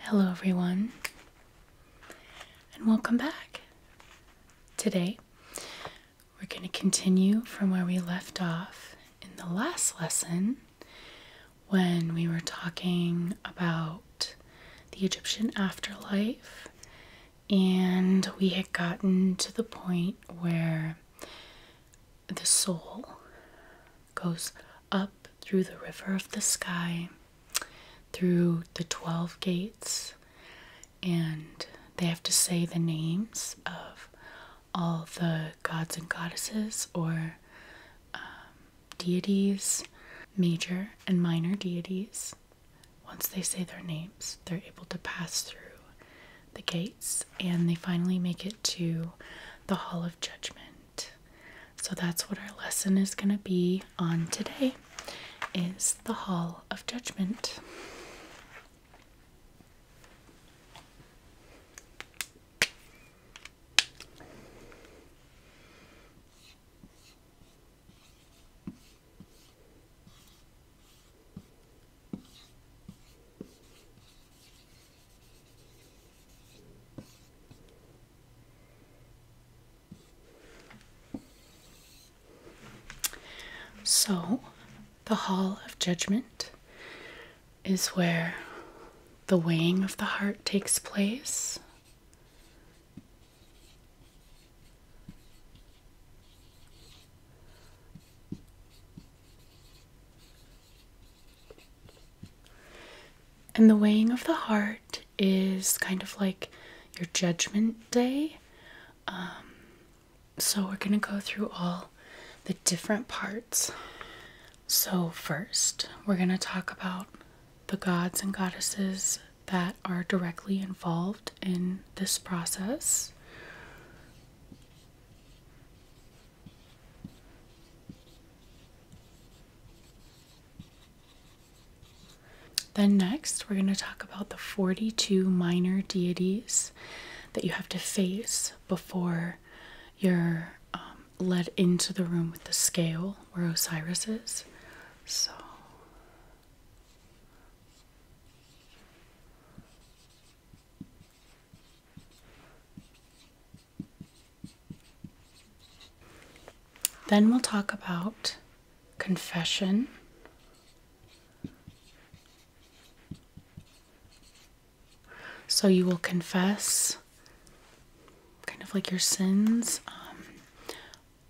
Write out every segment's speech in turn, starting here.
Hello, everyone, and welcome back. Today, we're going to continue from where we left off in the last lesson when we were talking about the Egyptian afterlife, and we had gotten to the point where the soul goes up through the river of the sky, through the 12 gates, and they have to say the names of all the gods and goddesses or um, deities, major and minor deities. Once they say their names, they're able to pass through the gates and they finally make it to the Hall of Judgment. So that's what our lesson is going to be on today is the hall of judgment. So, the Hall of Judgment is where the weighing of the heart takes place. And the weighing of the heart is kind of like your judgment day. Um, so we're going to go through all the different parts. So, first, we're going to talk about the gods and goddesses that are directly involved in this process. Then, next, we're going to talk about the 42 minor deities that you have to face before you're um, led into the room with the scale where Osiris is. So. Then we'll talk about confession. So you will confess kind of like your sins um,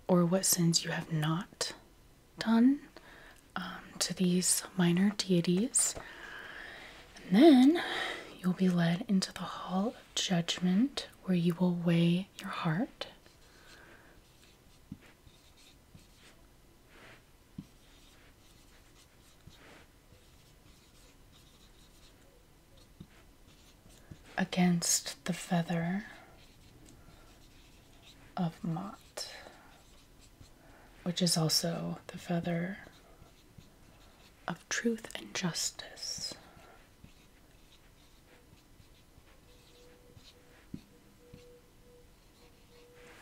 or what sins you have not done um, to these minor deities. And then you'll be led into the hall judgment where you will weigh your heart. Against the feather of Mott, which is also the feather of truth and justice.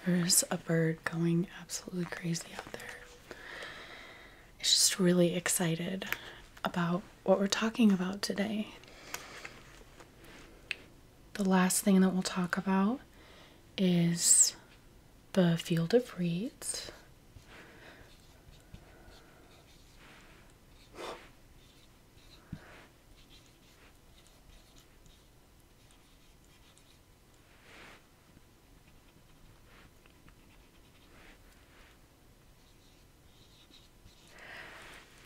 There's a bird going absolutely crazy out there. It's just really excited about what we're talking about today. The last thing that we'll talk about is the field of reeds.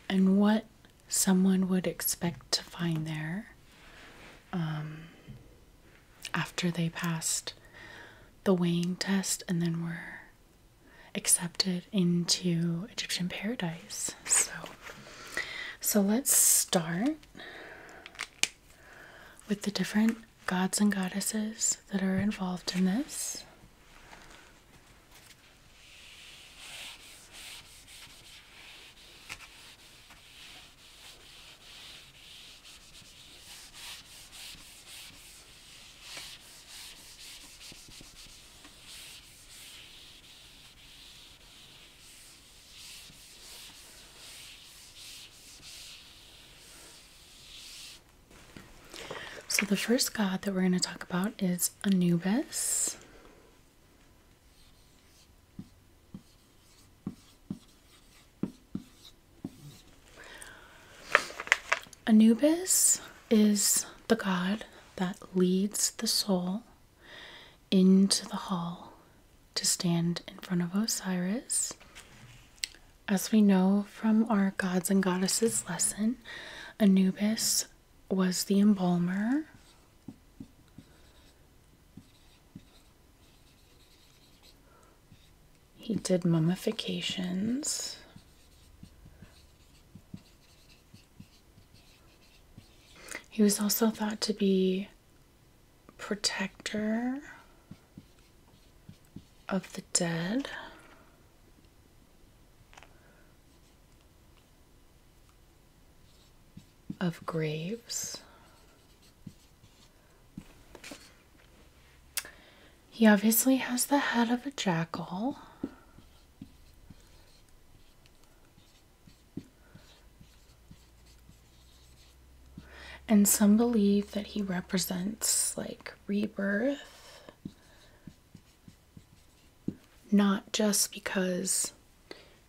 And what someone would expect to find there um, after they passed the weighing test and then were accepted into Egyptian paradise. So so let's start with the different gods and goddesses that are involved in this. So, the first god that we're going to talk about is Anubis. Anubis is the god that leads the soul into the hall to stand in front of Osiris. As we know from our gods and goddesses lesson, Anubis was the embalmer. He did mummifications. He was also thought to be protector of the dead. Of graves. He obviously has the head of a jackal. And some believe that he represents like rebirth, not just because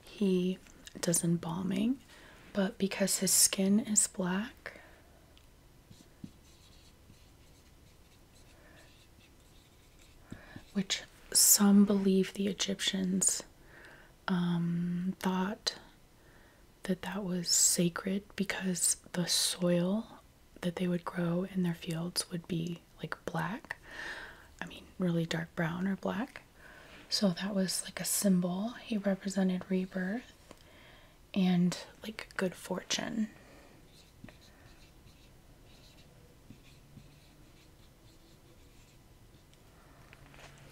he does embalming, but because his skin is black which some believe the Egyptians um, thought that that was sacred because the soil that they would grow in their fields would be like black. I mean, really dark brown or black. So that was like a symbol. He represented rebirth and like good fortune.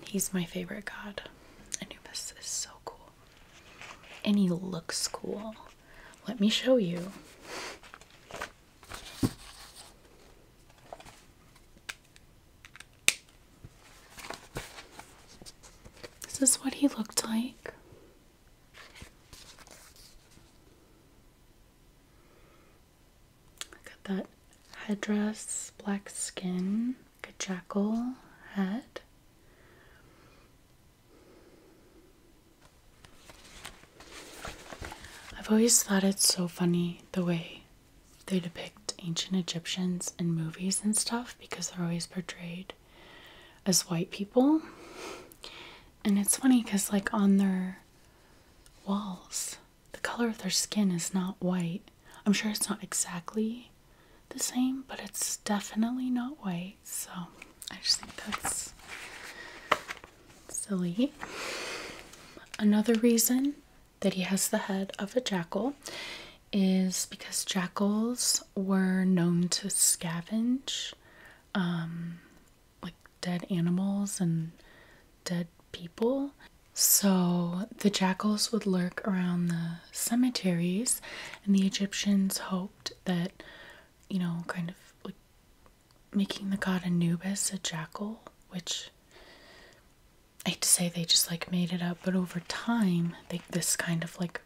He's my favorite god. Anubis is so cool. And he looks cool. Let me show you. This is what he looked like. Got that headdress, black skin, jackal head. I've always thought it's so funny the way they depict ancient Egyptians in movies and stuff because they're always portrayed as white people. And it's funny because, like, on their walls, the color of their skin is not white. I'm sure it's not exactly the same, but it's definitely not white. So I just think that's silly. Another reason that he has the head of a jackal is because jackals were known to scavenge um, like dead animals and dead people. So the jackals would lurk around the cemeteries, and the Egyptians hoped that, you know, kind of like making the god Anubis a jackal, which I hate to say they just like made it up, but over time, they, this kind of like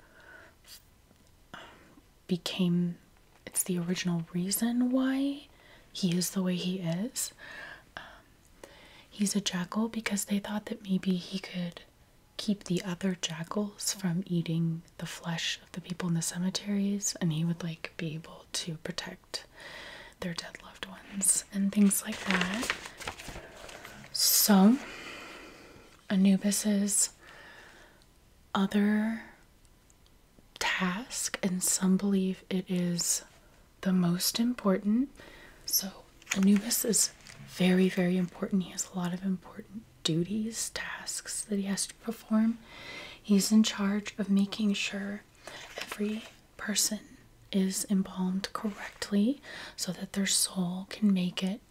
became it's the original reason why he is the way he is. Um, he's a jackal because they thought that maybe he could keep the other jackals from eating the flesh of the people in the cemeteries and he would like be able to protect their dead loved ones and things like that. So Anubis is other task, and some believe it is the most important. So, Anubis is very, very important. He has a lot of important duties, tasks that he has to perform. He's in charge of making sure every person is embalmed correctly so that their soul can make it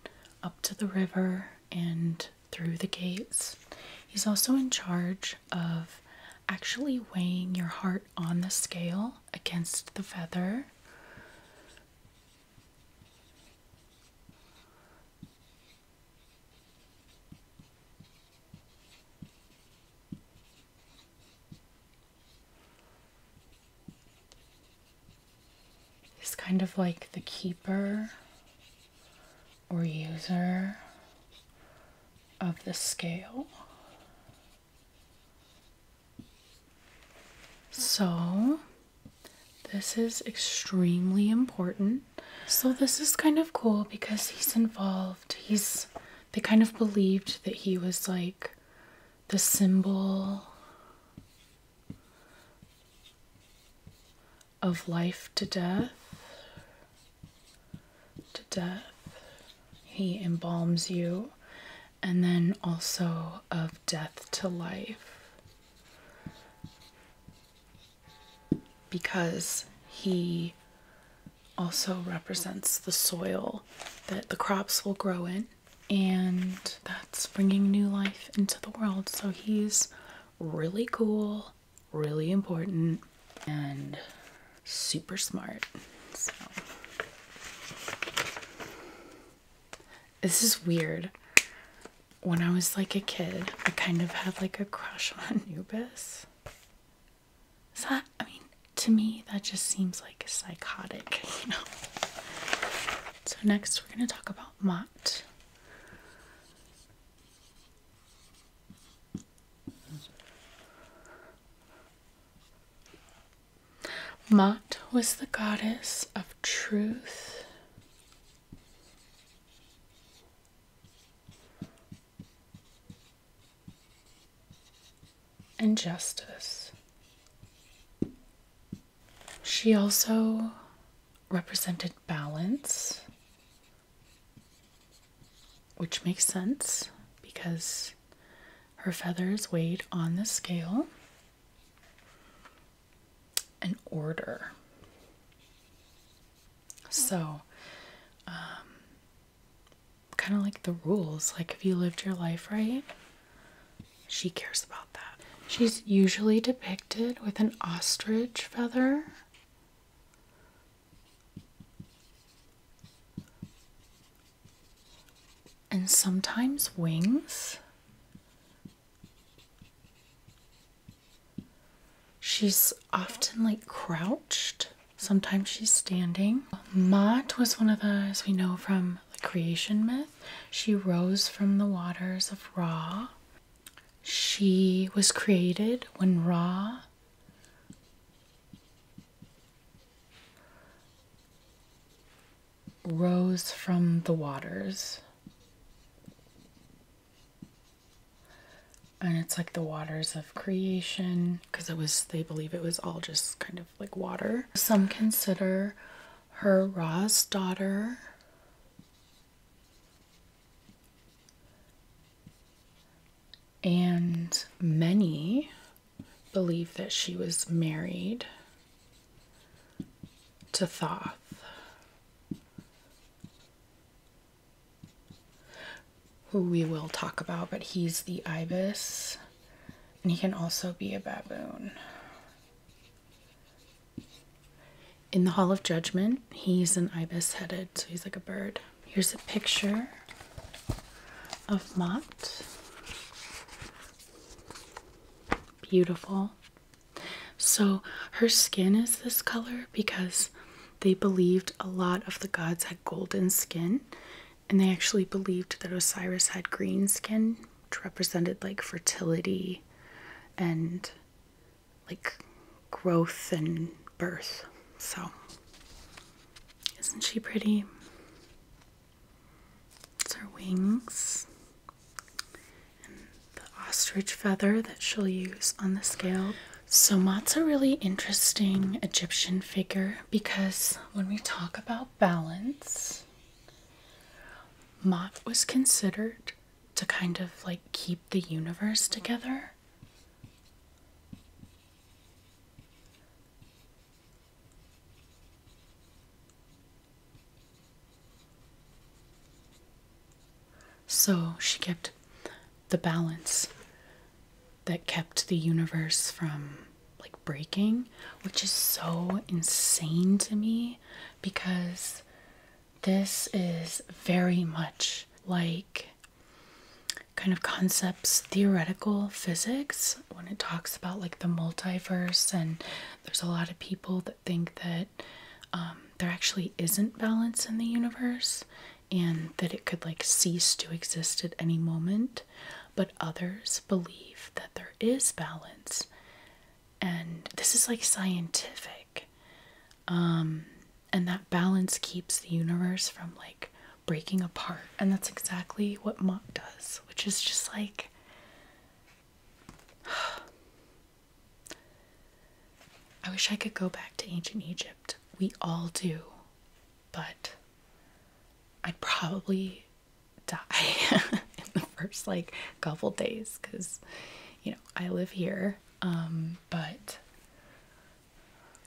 up to the river and through the gates. He's also in charge of actually weighing your heart on the scale against the feather is kind of like the keeper or user of the scale. So, this is extremely important. So, this is kind of cool because he's involved. He's, they kind of believed that he was like the symbol of life to death. To death. He embalms you, and then also of death to life. Because he also represents the soil that the crops will grow in, and that's bringing new life into the world. So he's really cool, really important, and super smart. So. This is weird. When I was like a kid, I kind of had like a crush on Anubis. Is that, I mean, to me, that just seems like psychotic, you know? So, next we're going to talk about Mott. Mat was the goddess of truth. And justice. She also represented balance, which makes sense because her feathers weighed on the scale, and order. So, um, kind of like the rules, like if you lived your life right, she cares about that. She's usually depicted with an ostrich feather. And sometimes wings. She's often like crouched, sometimes she's standing. Maat was one of those we know from the creation myth. She rose from the waters of Ra she was created when Ra rose from the waters. And it's like the waters of creation because it was, they believe it was all just kind of like water. Some consider her Ra's daughter. And many believe that she was married to Thoth. Who we will talk about, but he's the ibis, and he can also be a baboon. In the Hall of Judgment, he's an ibis headed, so he's like a bird. Here's a picture of Mott. Beautiful. So her skin is this color because they believed a lot of the gods had golden skin, and they actually believed that Osiris had green skin, which represented like fertility and like growth and birth. So, isn't she pretty? It's her wings and the ostrich feather that she'll use on the scale. So, Matt's a really interesting Egyptian figure because when we talk about balance, Mott was considered to kind of like keep the universe together. So she kept the balance that kept the universe from like breaking, which is so insane to me because this is very much like kind of concepts, theoretical physics, when it talks about like the multiverse, and there's a lot of people that think that um, there actually isn't balance in the universe and that it could like cease to exist at any moment. But others believe that there is balance, and this is like scientific um, and that balance keeps the universe from like breaking apart and that's exactly what Mach does which is just like I wish I could go back to ancient Egypt we all do but I'd probably die in the first like couple days because you know, I live here, um, but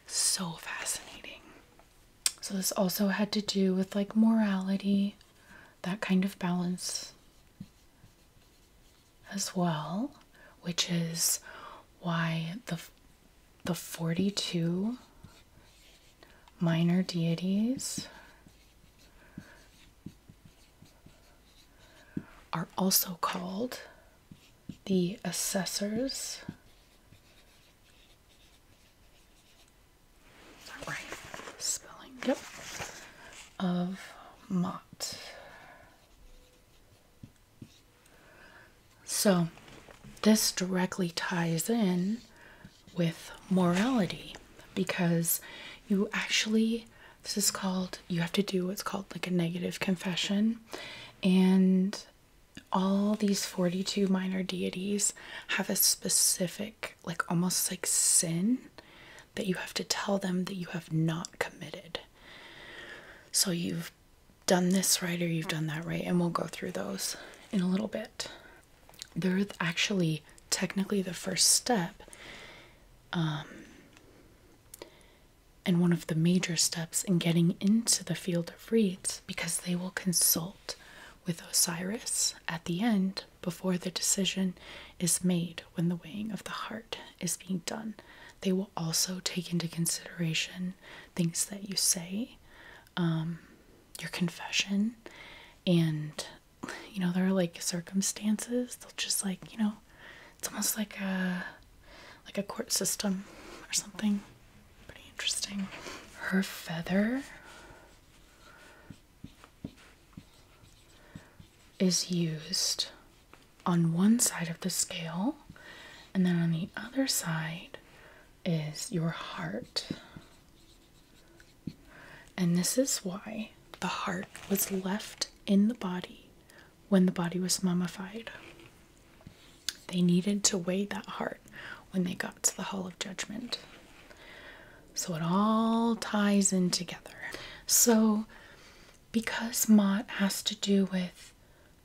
so fascinating. So, this also had to do with like morality, that kind of balance as well, which is why the the 42 minor deities are also called the assessors. Spelling, yep. Of Mott. So this directly ties in with morality because you actually this is called, you have to do what's called like a negative confession. And all these 42 minor deities have a specific, like almost like sin that you have to tell them that you have not committed. So you've done this right or you've done that right. And we'll go through those in a little bit. They're actually technically the first step. Um, and one of the major steps in getting into the field of reeds because they will consult with Osiris at the end before the decision is made when the weighing of the heart is being done. They will also take into consideration things that you say, um, your confession, and you know, there are like circumstances. They'll just like, you know, it's almost like a like a court system or something. Pretty interesting. Her feather is used on one side of the scale, and then on the other side is your heart. And this is why the heart was left in the body when the body was mummified. They needed to weigh that heart when they got to the Hall of Judgment. So it all ties in together. So, because Mott has to do with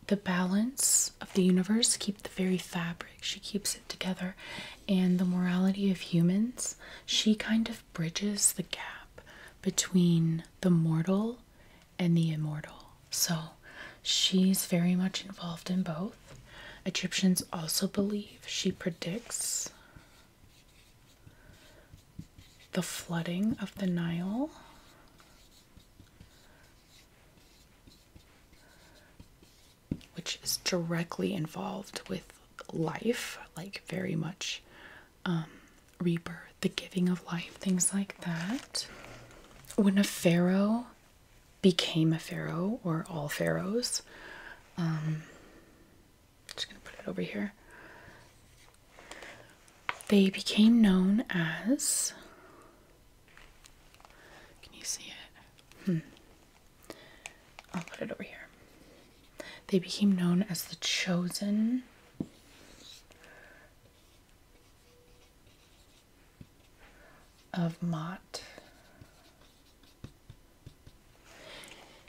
the balance of the universe, keep the very fabric, she keeps it together, and the morality of humans, she kind of bridges the gap between the mortal and the immortal. So she's very much involved in both. Egyptians also believe she predicts the flooding of the Nile. Which is directly involved with life, like very much um, rebirth, the giving of life, things like that. When a pharaoh became a pharaoh, or all pharaohs, um, just gonna put it over here. They became known as. Can you see it? Hmm. I'll put it over here. They became known as the chosen of Mott.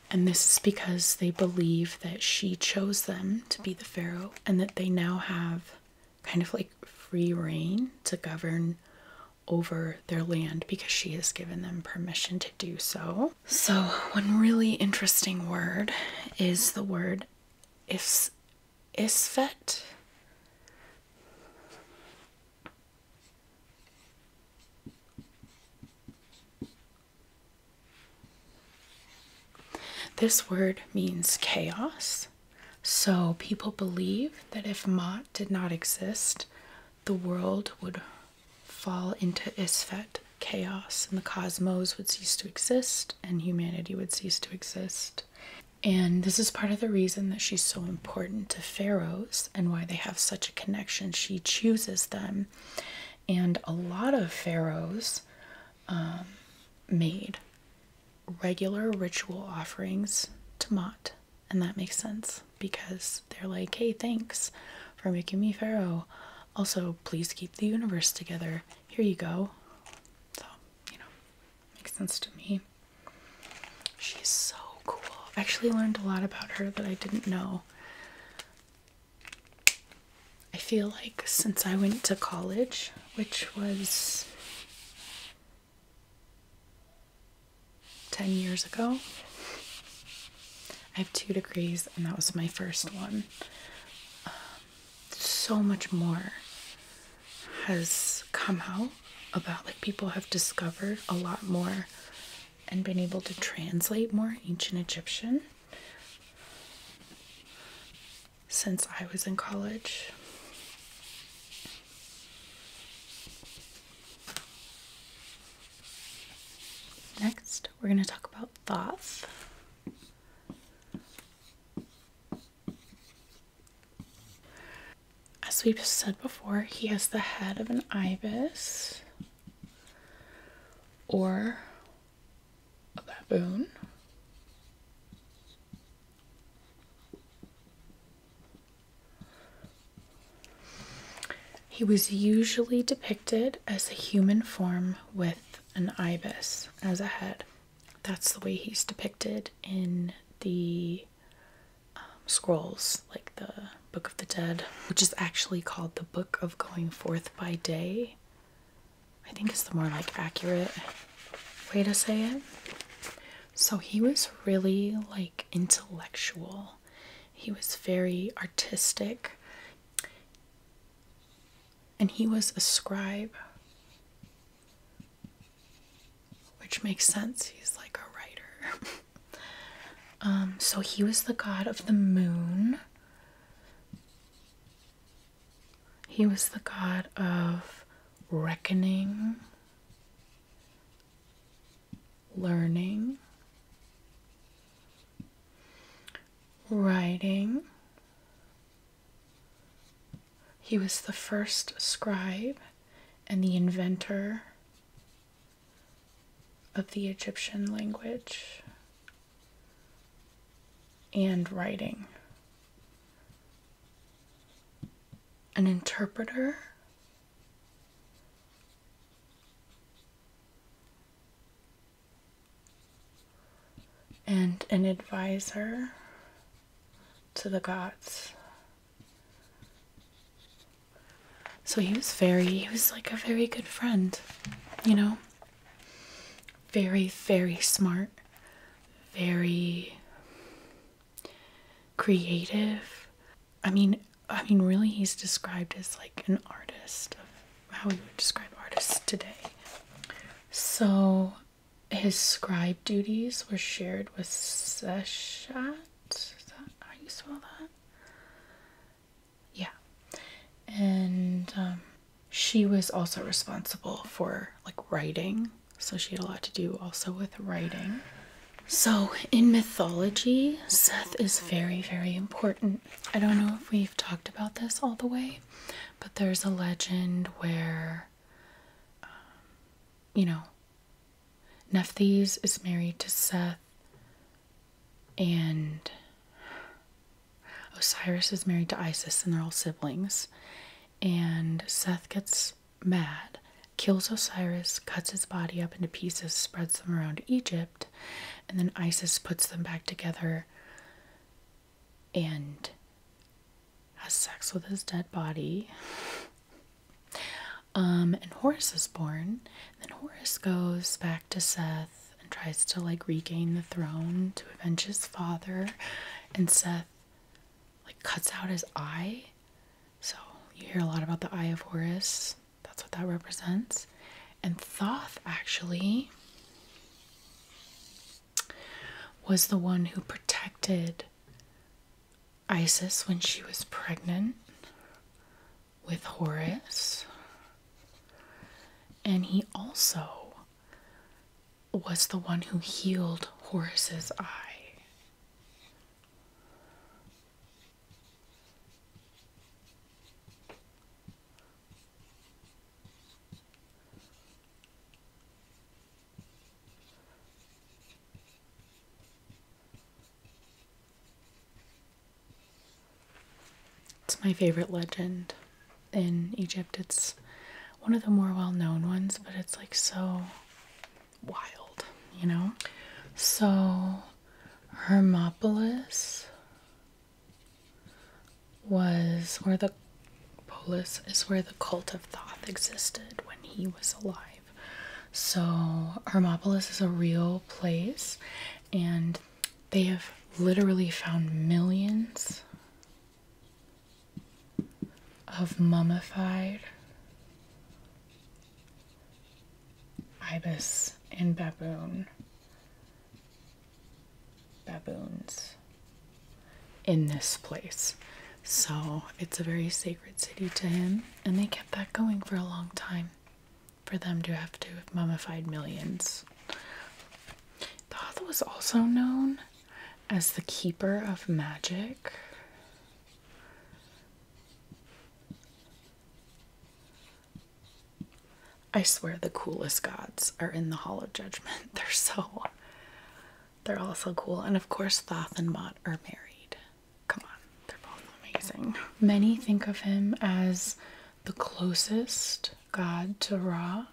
And this is because they believe that she chose them to be the pharaoh and that they now have kind of like free reign to govern over their land because she has given them permission to do so. So, one really interesting word is the word is Isvet? This word means chaos. So people believe that if Mott did not exist, the world would fall into Isfet, chaos, and the cosmos would cease to exist and humanity would cease to exist. And this is part of the reason that she's so important to pharaohs and why they have such a connection. She chooses them. And a lot of pharaohs um, made regular ritual offerings to Mott. And that makes sense because they're like, hey, thanks for making me pharaoh. Also, please keep the universe together. Here you go. So, you know, makes sense to me. She's so cool. I actually learned a lot about her that I didn't know. I feel like since I went to college, which was 10 years ago, I have two degrees, and that was my first one. Um, so much more has come out about like people have discovered a lot more and been able to translate more ancient Egyptian since I was in college. Next, we're going to talk about Thoth. As we've said before, he has the head of an ibis or a baboon. He was usually depicted as a human form with an ibis as a head that's the way he's depicted in the um, scrolls, like the Book of the Dead, which is actually called the Book of Going Forth by Day. I think is the more like accurate way to say it. So he was really like intellectual. He was very artistic and he was a scribe, which makes sense. He's like a writer. Um, so he was the god of the moon. He was the god of reckoning, learning, writing, he was the first scribe and the inventor of the Egyptian language and writing. An interpreter and an advisor to the gods. So he was very, he was like a very good friend, you know? Very, very smart, very creative. I mean, I mean, really, he's described as like an artist of how we would describe artists today. So his scribe duties were shared with Seshat. how you spell that? Yeah. And um, she was also responsible for like writing. So she had a lot to do also with writing. So in mythology, Seth is very, very important. I don't know if we've talked about this all the way, but there's a legend where um, you know, Nephthys is married to Seth, and Osiris is married to Isis, and they're all siblings. And Seth gets mad, kills Osiris, cuts his body up into pieces, spreads them around Egypt, and then Isis puts them back together and has sex with his dead body. Um, and Horus is born. Then Horus goes back to Seth and tries to like regain the throne to avenge his father. And Seth like cuts out his eye. So you hear a lot about the eye of Horus. That's what that represents. And Thoth actually was the one who protected Isis when she was pregnant with Horus. And he also was the one who healed Horus's eye. It's my favorite legend in Egypt. It's one of the more well known ones, but it's like so wild, you know? So, Hermopolis was where the polis is where the cult of Thoth existed when he was alive. So Hermopolis is a real place and they have literally found millions of mummified ibis and baboon baboons in this place. So it's a very sacred city to him, and they kept that going for a long time. For them to have to have mummified millions. Thoth was also known as the keeper of magic. I swear the coolest gods are in the Hall of Judgment. They're so they're also cool. And of course, Thoth and Mott are married. Come on, they're both amazing. Many think of him as the closest god to Ra.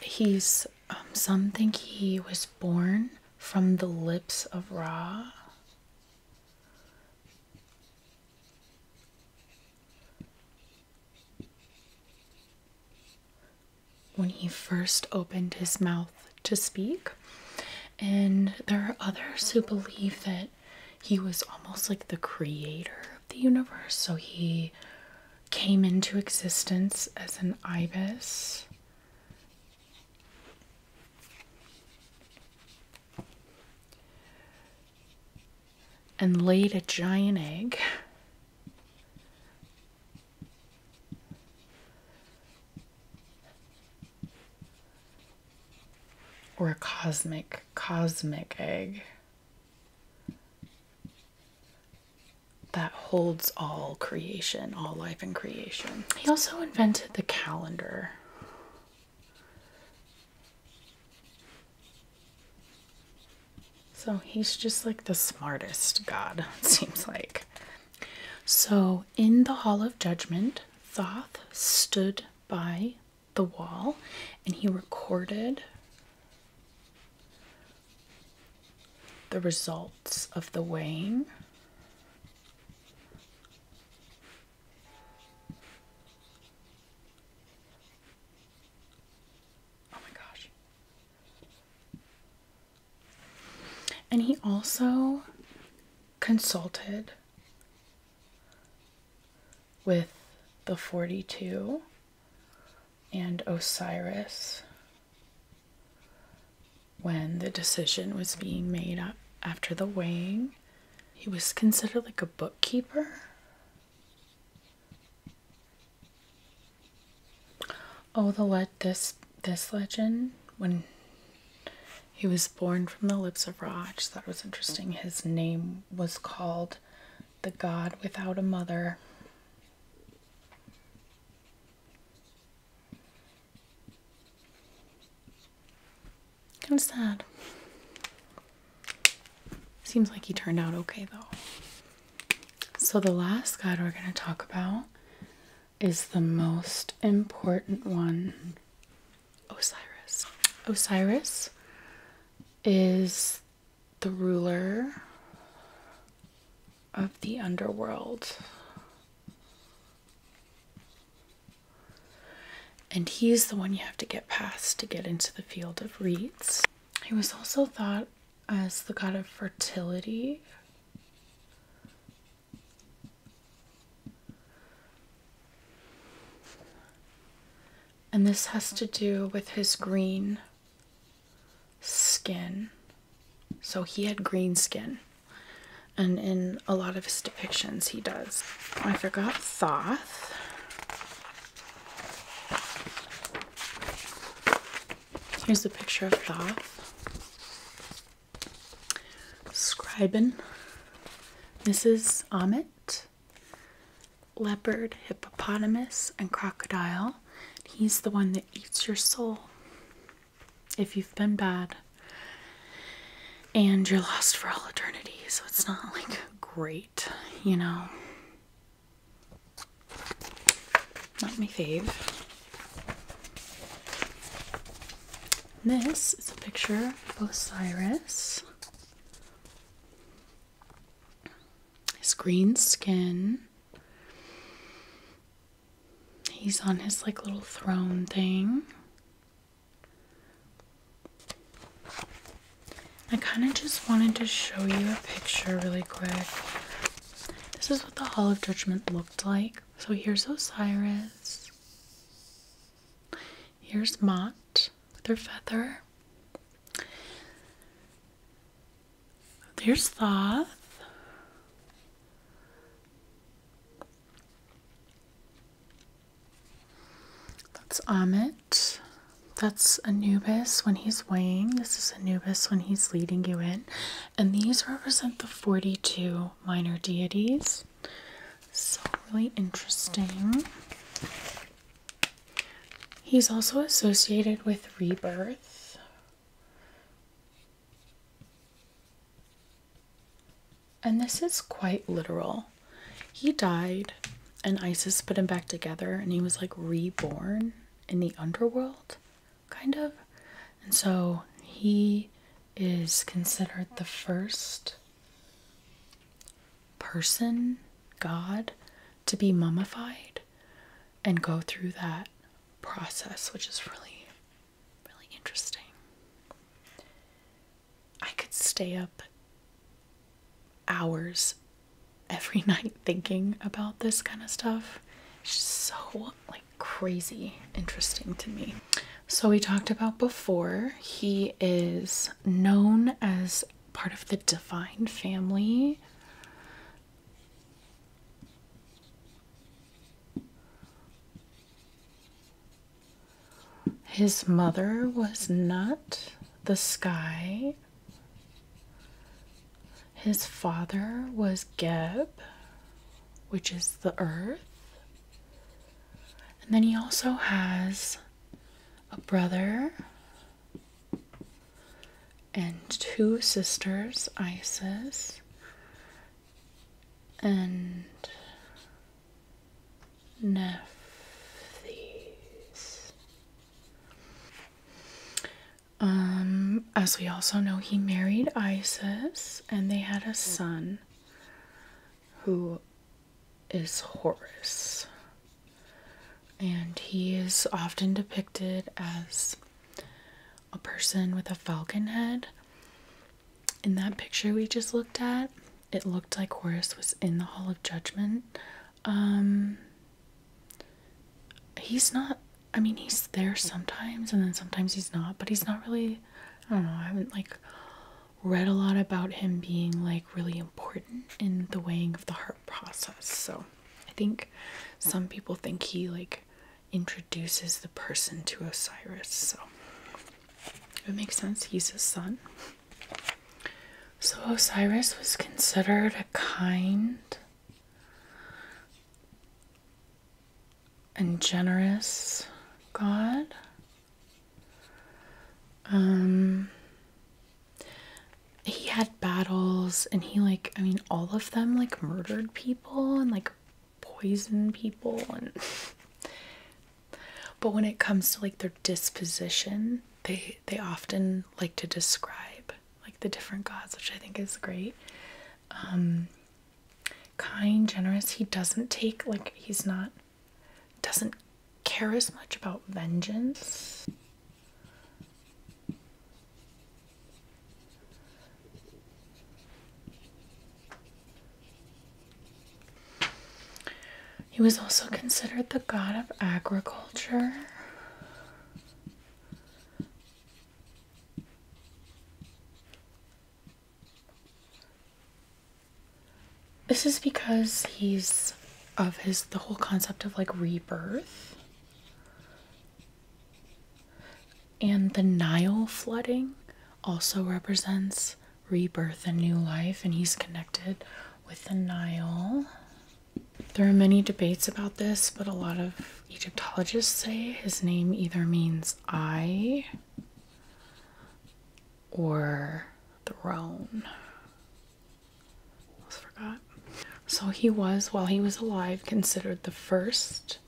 He's, um, some think he was born from the lips of Ra when he first opened his mouth to speak. And there are others who believe that he was almost like the creator of the universe. So he came into existence as an ibis and laid a giant egg. Or a cosmic, cosmic egg that holds all creation, all life and creation. He also invented the calendar. So he's just like the smartest god, it seems like. So in the Hall of Judgment, Thoth stood by the wall and he recorded the results of the weighing Oh my gosh. And he also consulted with the 42 and Osiris when the decision was being made after the weighing. He was considered like a bookkeeper. Oh, the let this this legend when he was born from the lips of Ra. I thought it was interesting. His name was called the God without a mother. Kind of sad. Seems like he turned out okay though. So, the last god we're going to talk about is the most important one Osiris. Osiris is the ruler of the underworld. And he's the one you have to get past to get into the field of reeds. He was also thought as the god of fertility. And this has to do with his green skin. So he had green skin. And in a lot of his depictions, he does. I forgot Thoth. Here's the picture of Thoth. Scriben. Mrs. Amit. Leopard, hippopotamus, and crocodile. He's the one that eats your soul if you've been bad and you're lost for all eternity, so it's not like great, you know. Not my fave. This is a picture of Osiris. His green skin. He's on his like little throne thing. I kind of just wanted to show you a picture really quick. This is what the Hall of Judgment looked like. So here's Osiris. Here's Mott with her feather. There's Thoth. That's Amit. That's Anubis when he's weighing. This is Anubis when he's leading you in. And these represent the 42 minor deities. So, really interesting. He's also associated with rebirth. And this is quite literal. He died, and Isis put him back together, and he was like reborn in the underworld, kind of. And so he is considered the first person, God, to be mummified and go through that process, which is really, really interesting. I could stay up hours every night thinking about this kind of stuff. It's just so like crazy interesting to me. So we talked about before, he is known as part of the divine family. His mother was not the sky. His father was Geb, which is the earth. And then he also has a brother and two sisters, Isis and Nephthys. Um, as we also know, he married Isis and they had a son who is Horus. And he is often depicted as a person with a falcon head. In that picture we just looked at, it looked like Horus was in the Hall of Judgment. Um, he's not, I mean, he's there sometimes and then sometimes he's not, but he's not really, I don't know, I haven't like read a lot about him being like really important in the weighing of the heart process. So I think some people think he like introduces the person to Osiris. So it makes sense. He's his son. So Osiris was considered a kind and generous god. Um he had battles and he like I mean all of them like murdered people and like poisoned people and but when it comes to like their disposition, they they often like to describe like the different gods, which I think is great. kind, um, generous. He doesn't take like he's not doesn't care as much about vengeance. He was also considered the god of agriculture. This is because he's of his the whole concept of like rebirth and the Nile flooding also represents rebirth and new life and he's connected with the Nile. There are many debates about this, but a lot of Egyptologists say his name either means eye or throne. forgot. So he was, while he was alive, considered the first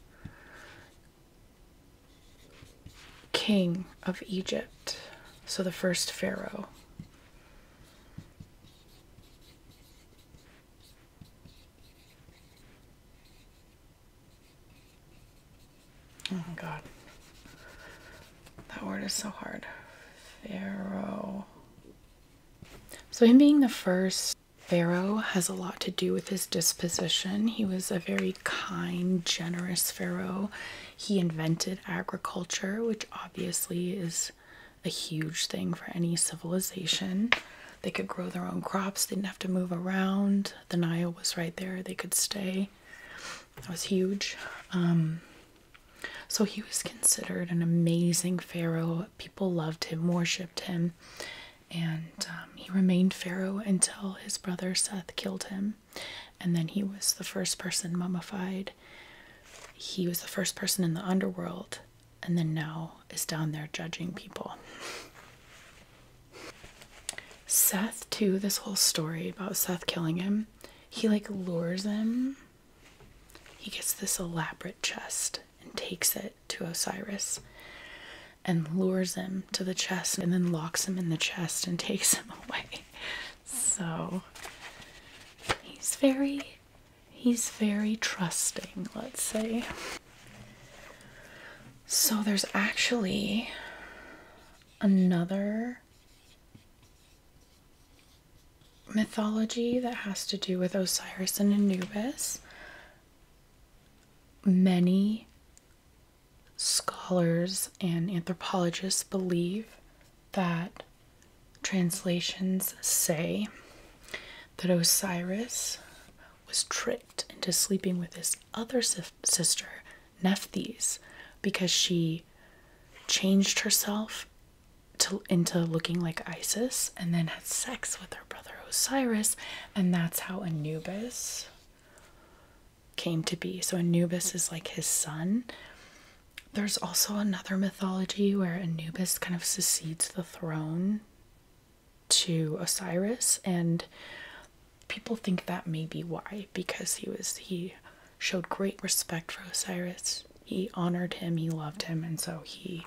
king of Egypt. So the first pharaoh. Oh my god. That word is so hard. Pharaoh. So, him being the first Pharaoh has a lot to do with his disposition. He was a very kind, generous Pharaoh. He invented agriculture, which obviously is a huge thing for any civilization. They could grow their own crops, they didn't have to move around. The Nile was right there, they could stay. That was huge. Um, so he was considered an amazing pharaoh. People loved him, worshipped him, and um, he remained pharaoh until his brother Seth killed him. And then he was the first person mummified he was the first person in the underworld and then now is down there judging people. Seth, too, this whole story about Seth killing him, he like lures him. He gets this elaborate chest and takes it to Osiris and lures him to the chest and then locks him in the chest and takes him away. So He's very he's very trusting, let's say. So there's actually another mythology that has to do with Osiris and Anubis. Many scholars and anthropologists believe that translations say that Osiris was tricked into sleeping with his other sister, Nephthys, because she changed herself into looking like Isis and then had sex with her brother Osiris, and that's how Anubis came to be. So Anubis is like his son, there's also another mythology where Anubis kind of secedes the throne to Osiris, and people think that may be why, because he was he showed great respect for Osiris. He honored him, he loved him, and so he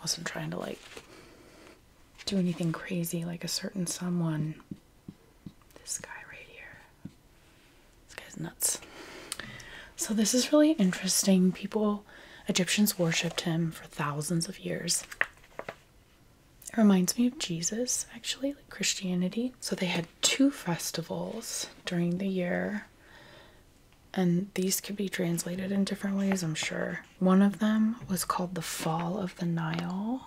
wasn't trying to like do anything crazy like a certain someone. This guy right here. This guy's nuts. So this is really interesting. People, Egyptians worshipped him for thousands of years. It reminds me of Jesus, actually, like Christianity. So they had two festivals during the year. And these could be translated in different ways, I'm sure. One of them was called the Fall of the Nile.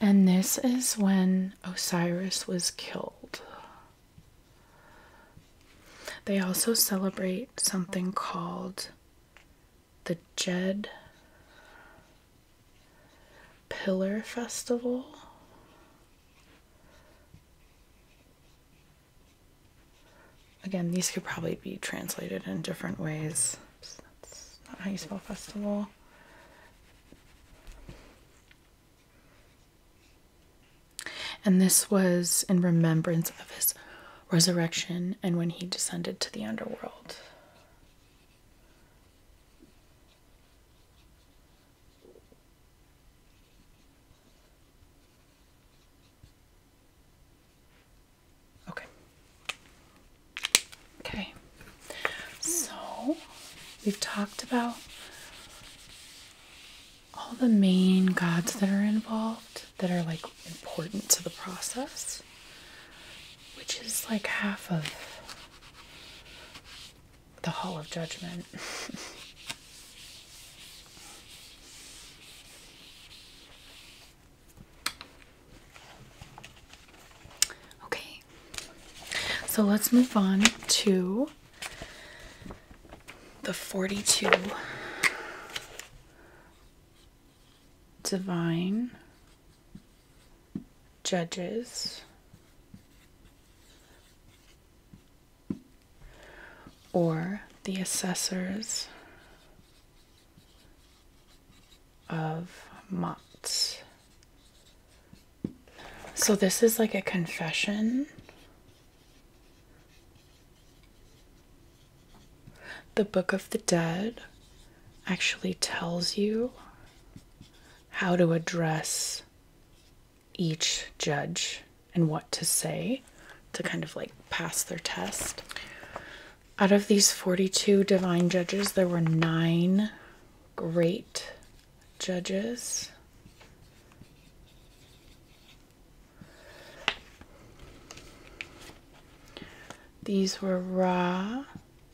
And this is when Osiris was killed. They also celebrate something called the Jed Pillar Festival. Again, these could probably be translated in different ways. Oops, that's not how you spell festival. And this was in remembrance of his resurrection and when he descended to the underworld. Okay. Okay. So we've talked about all the main gods that are involved that are like important to the process, which is like half of the Hall of Judgment. Okay, so let's move on to the 42 divine judges or the assessors of Mott. So this is like a confession. The Book of the Dead actually tells you how to address each judge and what to say to kind of like pass their test. Out of these 42 divine judges, there were nine great judges. These were Ra,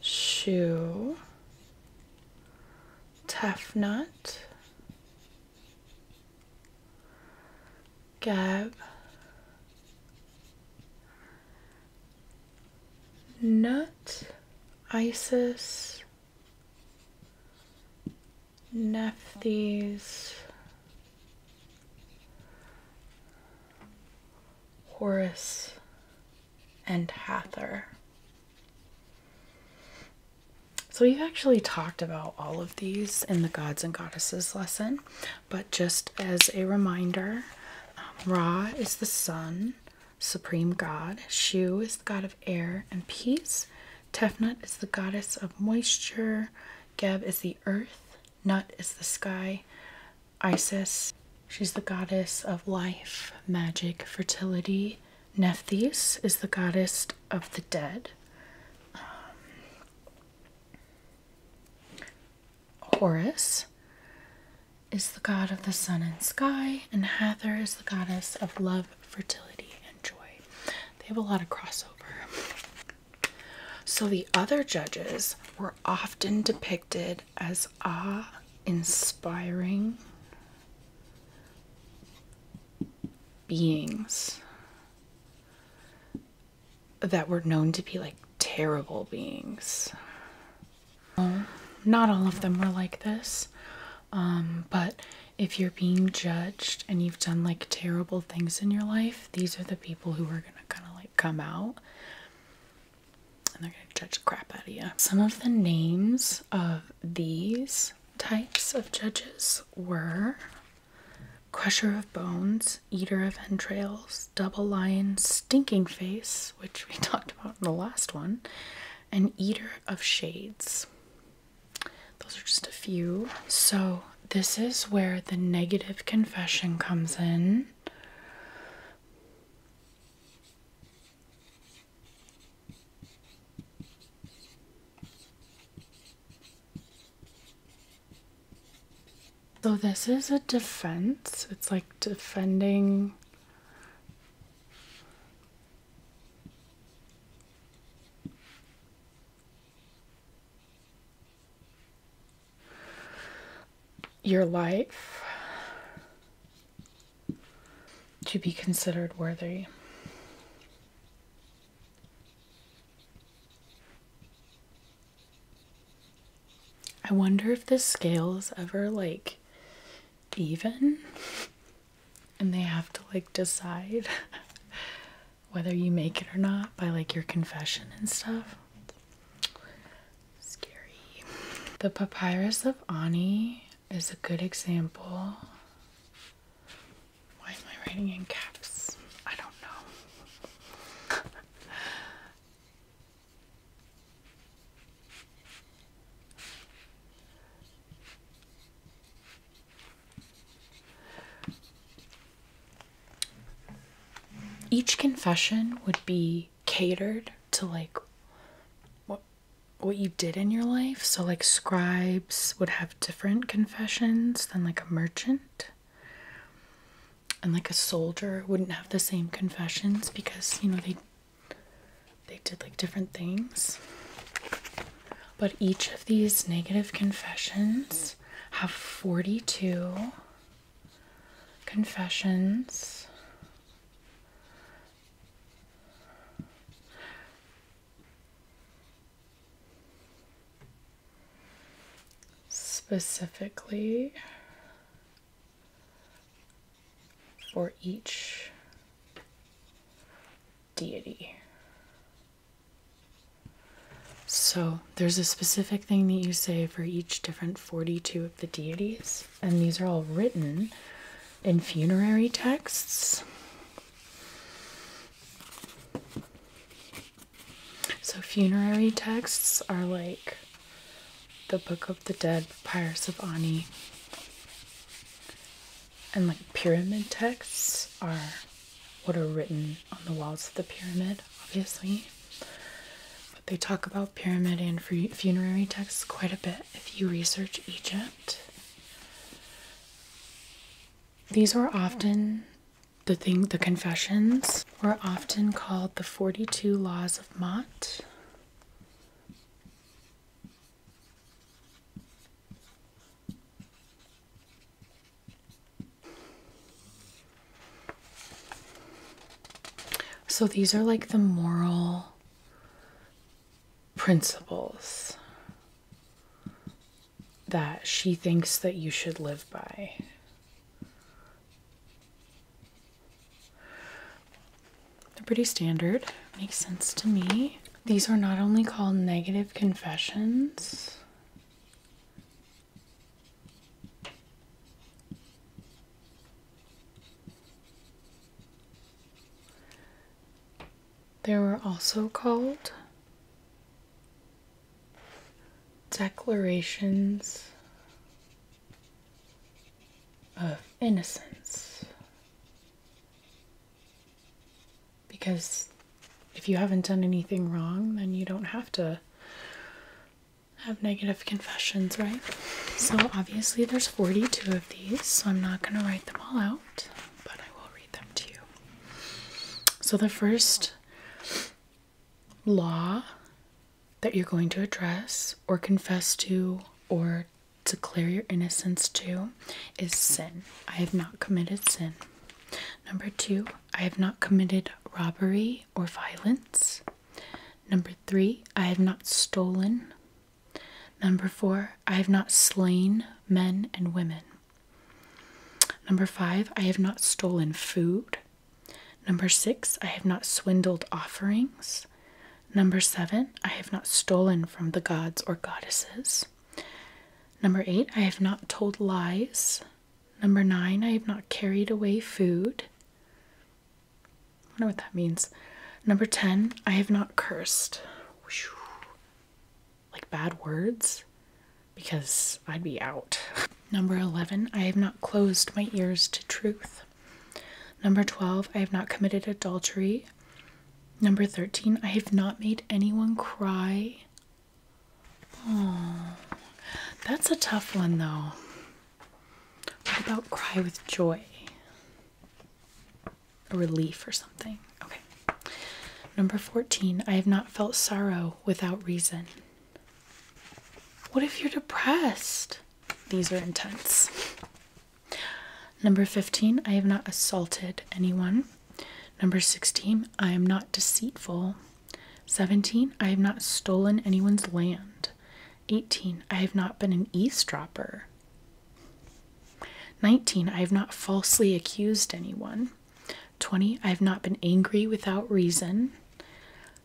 Shu, Tefnut, Gab, Nut, Isis, Nephthys, Horus, and Hathor. So, we've actually talked about all of these in the gods and goddesses lesson. But just as a reminder, um, Ra is the sun, supreme god. Shu is the god of air and peace. Tefnut is the goddess of moisture. Geb is the earth. Nut is the sky. Isis, she's the goddess of life, magic, fertility. Nephthys is the goddess of the dead. Um, Horus is the god of the sun and sky, and Hathor is the goddess of love, fertility, and joy. They have a lot of crossover. So the other judges were often depicted as awe inspiring beings that were known to be like terrible beings. not all of them were like this, um, but if you're being judged and you've done like terrible things in your life, these are the people who are gonna kind of like come out and they're gonna judge crap out of you. Some of the names of these types of judges were crusher of bones, eater of entrails, double lion stinking face, which we talked about in the last one, an eater of shades. Those are just a few. So, this is where the negative confession comes in. So this is a defense. It's like defending your life to be considered worthy. I wonder if the scale is ever like even and they have to like decide whether you make it or not by like your confession and stuff. Scary. The Papyrus of Ani is a good example. Why am I writing in caps? I don't know. Each confession would be catered to like what what you did in your life. So like scribes would have different confessions than like a merchant and like a soldier wouldn't have the same confessions because you know they they did like different things but each of these negative confessions have 42 confessions specifically for each deity. So there's a specific thing that you say for each different 42 of the deities, and these are all written in funerary texts. So funerary texts are like the Book of the Dead, Papyrus of Ani, and like pyramid texts are what are written on the walls of the pyramid, obviously. But they talk about pyramid and funerary texts quite a bit if you research Egypt. These were often the thing the confessions were often called the 42 laws of Mott so these are like the moral principles that she thinks that you should live by. They're pretty standard. Makes sense to me. These are not only called negative confessions, they were also called declarations of innocence. Because if you haven't done anything wrong, then you don't have to have negative confessions, right? So obviously there's 42 of these, so I'm not going to write them all out, but I will read them to you. So the first law that you're going to address or confess to or declare your innocence to is sin. I have not committed sin. Number two, I have not committed robbery or violence. Number three, I have not stolen. Number four, I have not slain men and women. Number five, I have not stolen food. Number six, I have not swindled offerings. Number seven, I have not stolen from the gods or goddesses. Number eight, I have not told lies. Number nine, I have not carried away food. I wonder what that means. Number 10, I have not cursed. Like bad words, because I'd be out. Number 11, I have not closed my ears to truth. Number 12, I have not committed adultery. Number 13, I have not made anyone cry. Oh, that's a tough one though. What about cry with joy? A relief or something. Okay. Number 14, I have not felt sorrow without reason. What if you're depressed? These are intense. Number 15, I have not assaulted anyone. Number 16, I am not deceitful. 17, I have not stolen anyone's land. 18, I have not been an eavesdropper. 19, I have not falsely accused anyone. 20, I have not been angry without reason.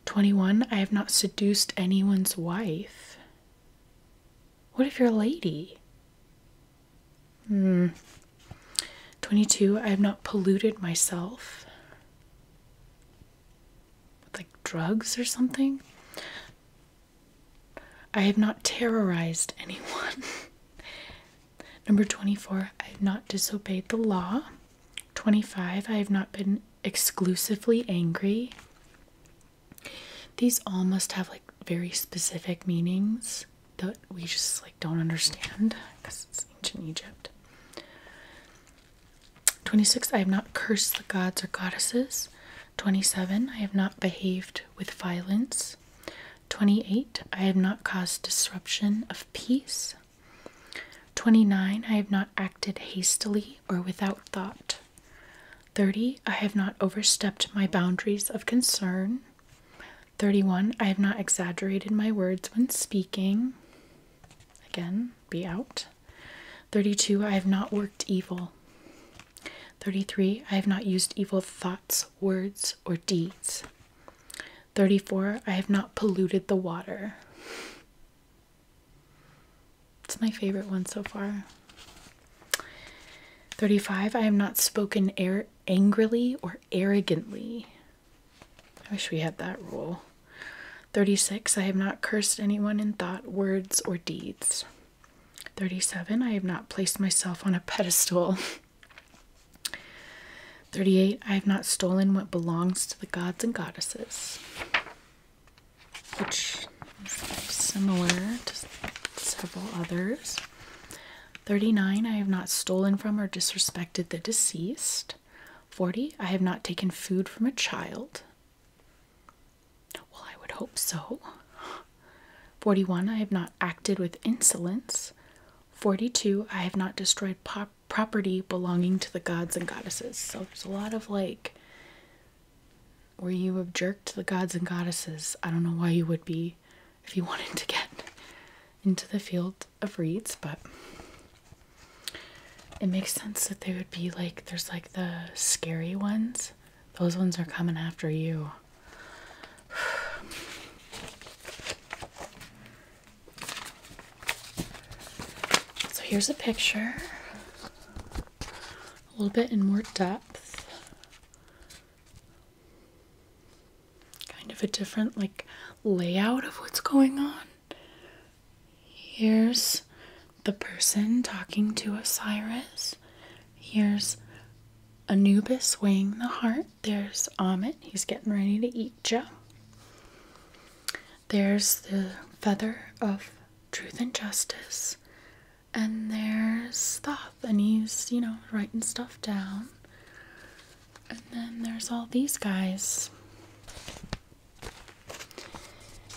21. I have not seduced anyone's wife. What if you're a lady? Hmm. 22. I have not polluted myself with like drugs or something. I have not terrorized anyone. Number 24. I have not disobeyed the law. 25. I have not been exclusively angry. These all must have like very specific meanings that we just like don't understand because it's ancient Egypt. 26. I have not cursed the gods or goddesses. 27. I have not behaved with violence. 28. I have not caused disruption of peace. 29. I have not acted hastily or without thought. 30. I have not overstepped my boundaries of concern. 31. I have not exaggerated my words when speaking. Again, be out. 32. I have not worked evil. 33. I have not used evil thoughts, words, or deeds. 34. I have not polluted the water. It's my favorite one so far. 35. I have not spoken air angrily or arrogantly. I wish we had that rule. 36. I have not cursed anyone in thought, words, or deeds. 37. I have not placed myself on a pedestal. 38. I have not stolen what belongs to the gods and goddesses which is similar to several others. 39. I have not stolen from or disrespected the deceased. 40. I have not taken food from a child. Well, I would hope so. 41. I have not acted with insolence. 42. I have not destroyed property belonging to the gods and goddesses. So there's a lot of like where you have jerked the gods and goddesses? I don't know why you would be if you wanted to get into the field of reeds, but it makes sense that they would be like there's like the scary ones. Those ones are coming after you. So here's a picture a little bit in more depth. Kind of a different like layout of what's going on. Here's the person talking to Osiris. Here's Anubis weighing the heart. There's Amit. He's getting ready to eat Joe. There's the feather of truth and justice, and there's Thoth, and he's, you know, writing stuff down. And then there's all these guys.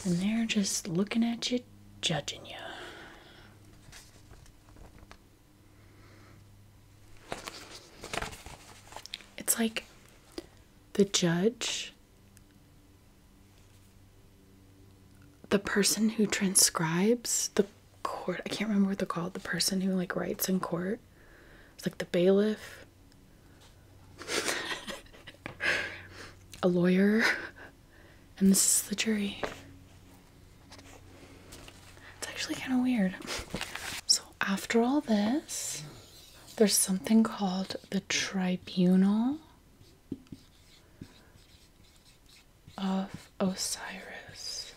And they're just looking at you, judging you. It's like the judge the person who transcribes the court i can't remember what they're called the person who like writes in court it's like the bailiff a lawyer and this is the jury it's actually kind of weird so after all this there's something called the tribunal of Osiris.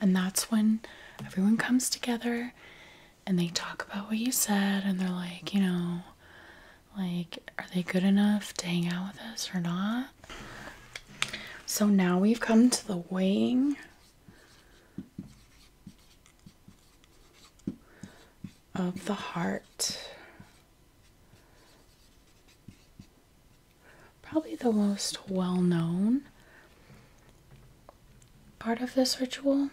And that's when everyone comes together and they talk about what you said and they're like, you know, like, are they good enough to hang out with us or not? So now we've come to the weighing of the heart. Probably the most well known part of this ritual.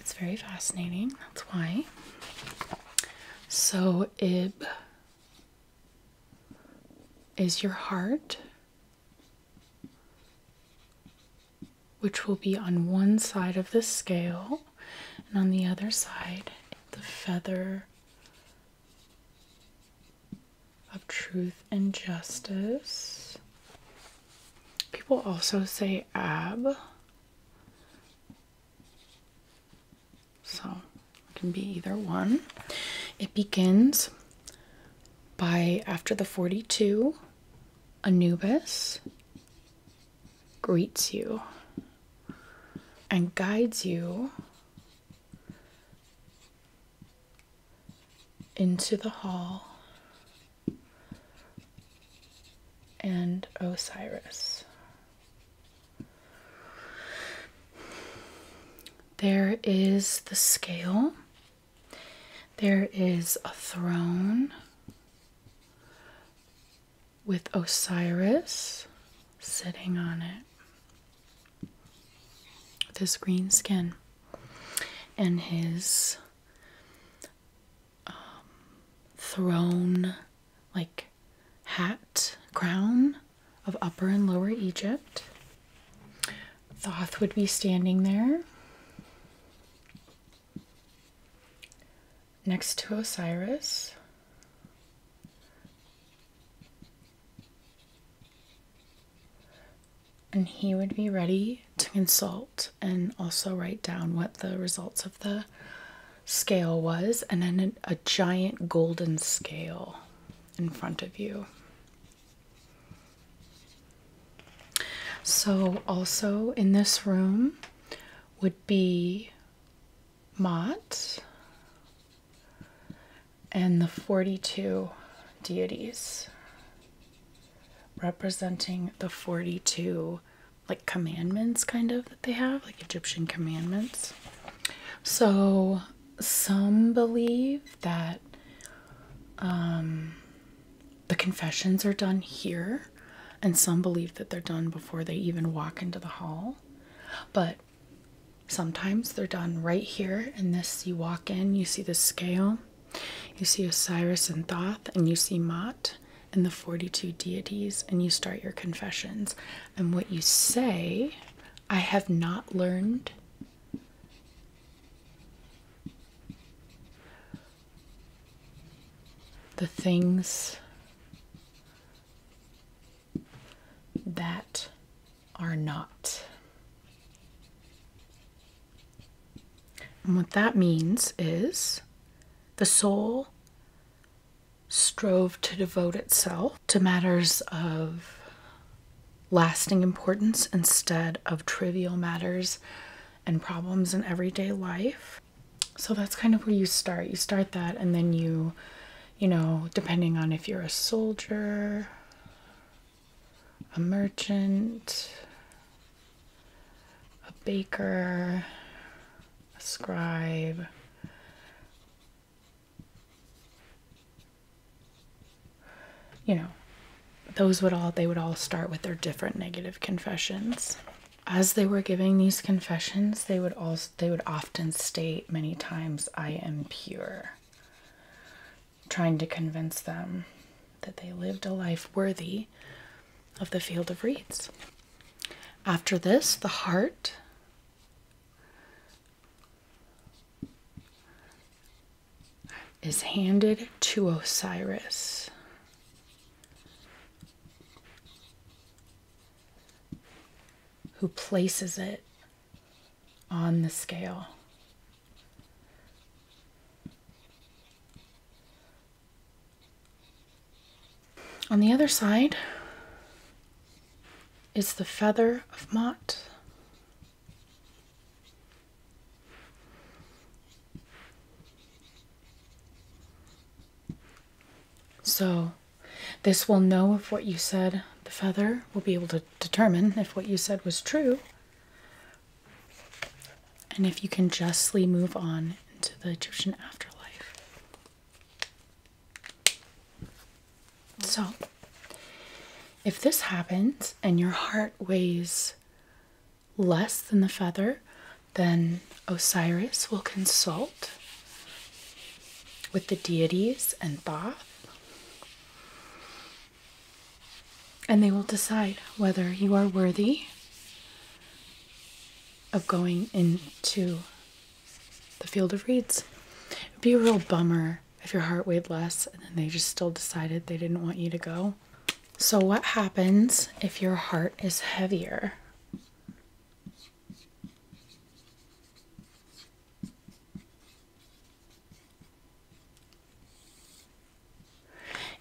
It's very fascinating, that's why. So, Ib is your heart, which will be on one side of the scale, and on the other side, the feather of truth and justice. People also say ab. So it can be either one. It begins by after the 42, Anubis greets you and guides you into the hall and Osiris. There is the scale. There is a throne with Osiris sitting on it with his green skin and his um, throne like hat crown of Upper and Lower Egypt. Thoth would be standing there next to Osiris. And he would be ready to consult and also write down what the results of the scale was, and then a, giant golden scale in front of you. So, also in this room would be Mott and the 42 deities representing the 42 like commandments kind of that they have like egyptian commandments so some believe that um, the confessions are done here, and some believe that they're done before they even walk into the hall. But sometimes they're done right here And this. You walk in, you see the scale, you see Osiris and Thoth, and you see Mott and the 42 deities, and you start your confessions. And what you say, I have not learned the things that are not. And what that means is the soul strove to devote itself to matters of lasting importance instead of trivial matters and problems in everyday life. So that's kind of where you start. You start that, and then you, you know, depending on if you're a soldier, a merchant, a baker, a scribe, you know, those would all, they would all start with their different negative confessions. As they were giving these confessions, they would also, they would often state many times, I am pure, trying to convince them that they lived a life worthy of the field of reeds. After this, the heart is handed to Osiris. Who places it on the scale? On the other side is the feather of Mott. So, this will know if what you said, the feather will be able to determine if what you said was true, and if you can justly move on into the Egyptian afterlife. So, if this happens and your heart weighs less than the feather, then Osiris will consult with the deities and Thoth, and they will decide whether you are worthy of going into the field of reeds. be a real bummer if your heart weighed less and they just still decided they didn't want you to go. So, what happens if your heart is heavier?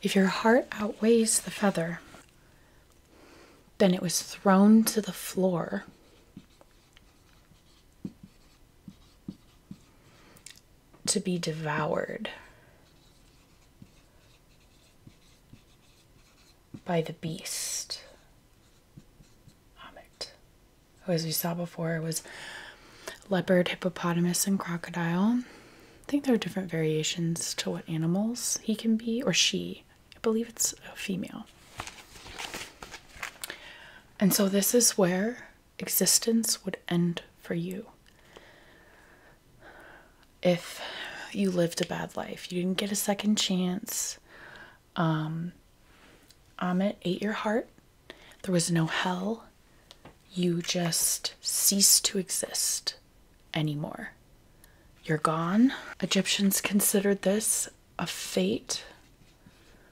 If your heart outweighs the feather, then it was thrown to the floor to be devoured by the beast. Amit, who, as we saw before, was leopard, hippopotamus, and crocodile. I think there are different variations to what animals he can be, or she. I believe it's a female. And so this is where existence would end for you if you lived a bad life. You didn't get a second chance. Um, Amit ate your heart. There was no hell. You just ceased to exist anymore. You're gone. Egyptians considered this a fate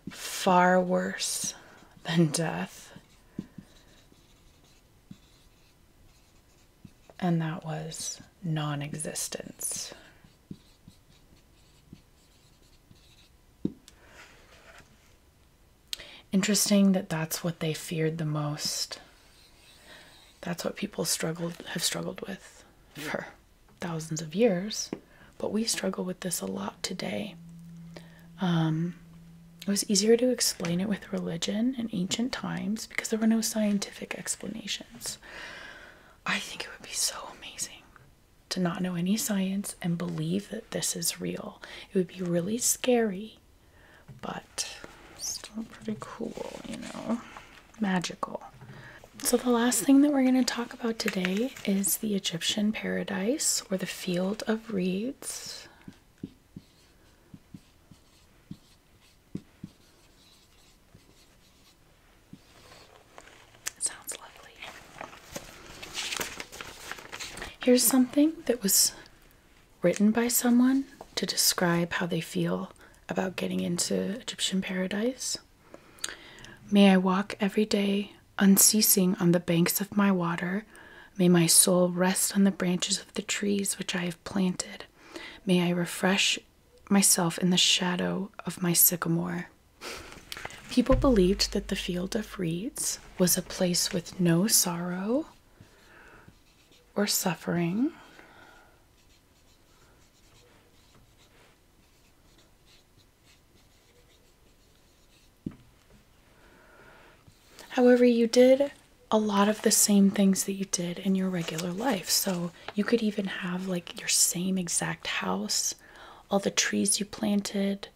far worse than death. And that was non existence. Interesting that that's what they feared the most. That's what people struggled have struggled with for thousands of years but we struggle with this a lot today. Um, it was easier to explain it with religion in ancient times because there were no scientific explanations. I think it would be so amazing to not know any science and believe that this is real. It would be really scary, but still pretty cool, you know, magical. So, the last thing that we're going to talk about today is the Egyptian paradise or the field of Reads. sounds lovely. Here's something that was written by someone to describe how they feel about getting into Egyptian paradise. May I walk every day Unceasing on the banks of my water, may my soul rest on the branches of the trees which I have planted. May I refresh myself in the shadow of my sycamore. People believed that the field of reeds was a place with no sorrow or suffering. However, you did a lot of the same things that you did in your regular life. So you could even have like your same exact house, all the trees you planted.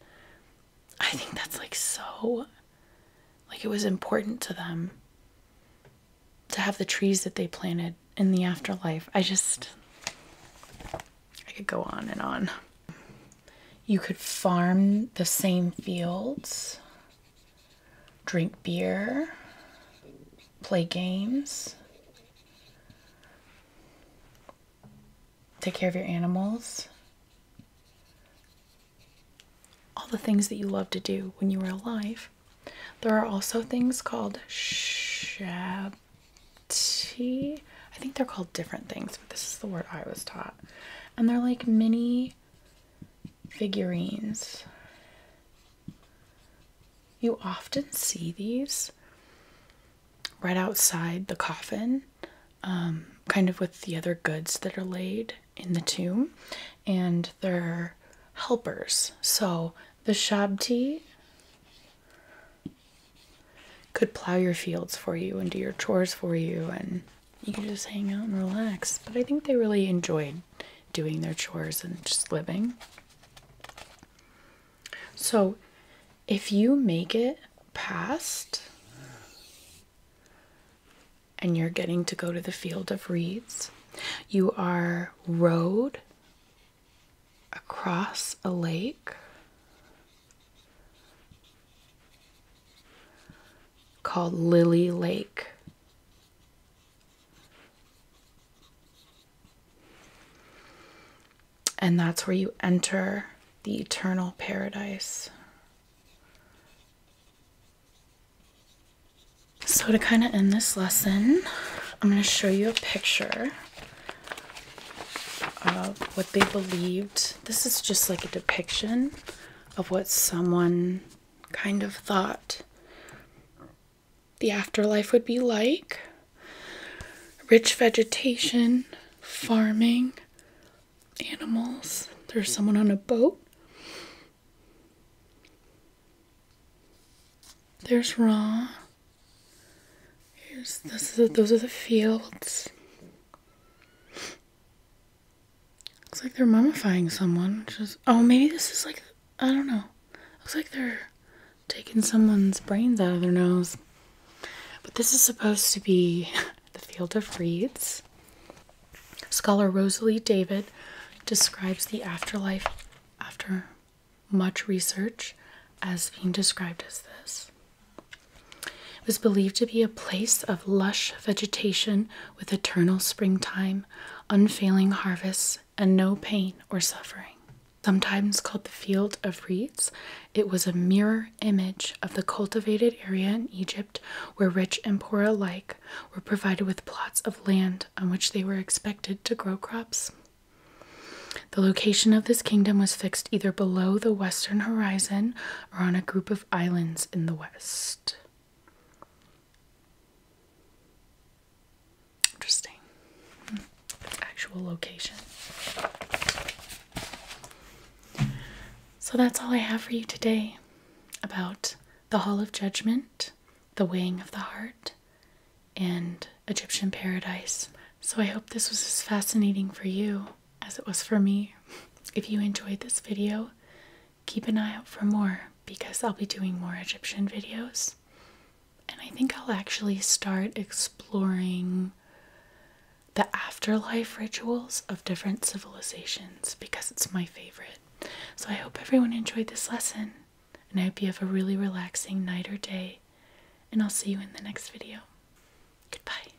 I think that's like so, like it was important to them to have the trees that they planted in the afterlife. I just, I could go on and on. You could farm the same fields, drink beer, play games, take care of your animals. All the things that you loved to do when you were alive. There are also things called shabti I think they're called different things, but this is the word I was taught. And they're like mini figurines. You often see these right outside the coffin, um, kind of with the other goods that are laid in the tomb, and they're helpers. So the Shabti could plow your fields for you and do your chores for you and you could just hang out and relax. But I think they really enjoyed doing their chores and just living. So if you make it past and you're getting to go to the field of reeds, you are rowed across a lake called Lily Lake. And that's where you enter the eternal paradise. So, to kind of end this lesson, I'm going to show you a picture uh, what they believed. This is just like a depiction of what someone kind of thought the afterlife would be like rich vegetation, farming, animals. There's someone on a boat. There's Ra. those are the fields. Looks like they're mummifying someone. Just oh, maybe this is like I don't know. Looks like they're taking someone's brains out of their nose. But this is supposed to be the field of reeds. Scholar Rosalie David describes the afterlife after much research as being described as this. It was believed to be a place of lush vegetation with eternal springtime, unfailing harvests, and no pain or suffering. Sometimes called the Field of Reeds, it was a mirror image of the cultivated area in Egypt where rich and poor alike were provided with plots of land on which they were expected to grow crops. The location of this kingdom was fixed either below the western horizon are on a group of islands in the west. Interesting. Hmm. actual location. So that's all I have for you today about the Hall of Judgment, the Weighing of the Heart, and Egyptian Paradise. So I hope this was as fascinating for you as it was for me. If you enjoyed this video, keep an eye out for more because I'll be doing more Egyptian videos. And I think I'll actually start exploring the afterlife rituals of different civilizations because it's my favorite. So I hope everyone enjoyed this lesson. And I hope you have a really relaxing night or day. And I'll see you in the next video. Goodbye.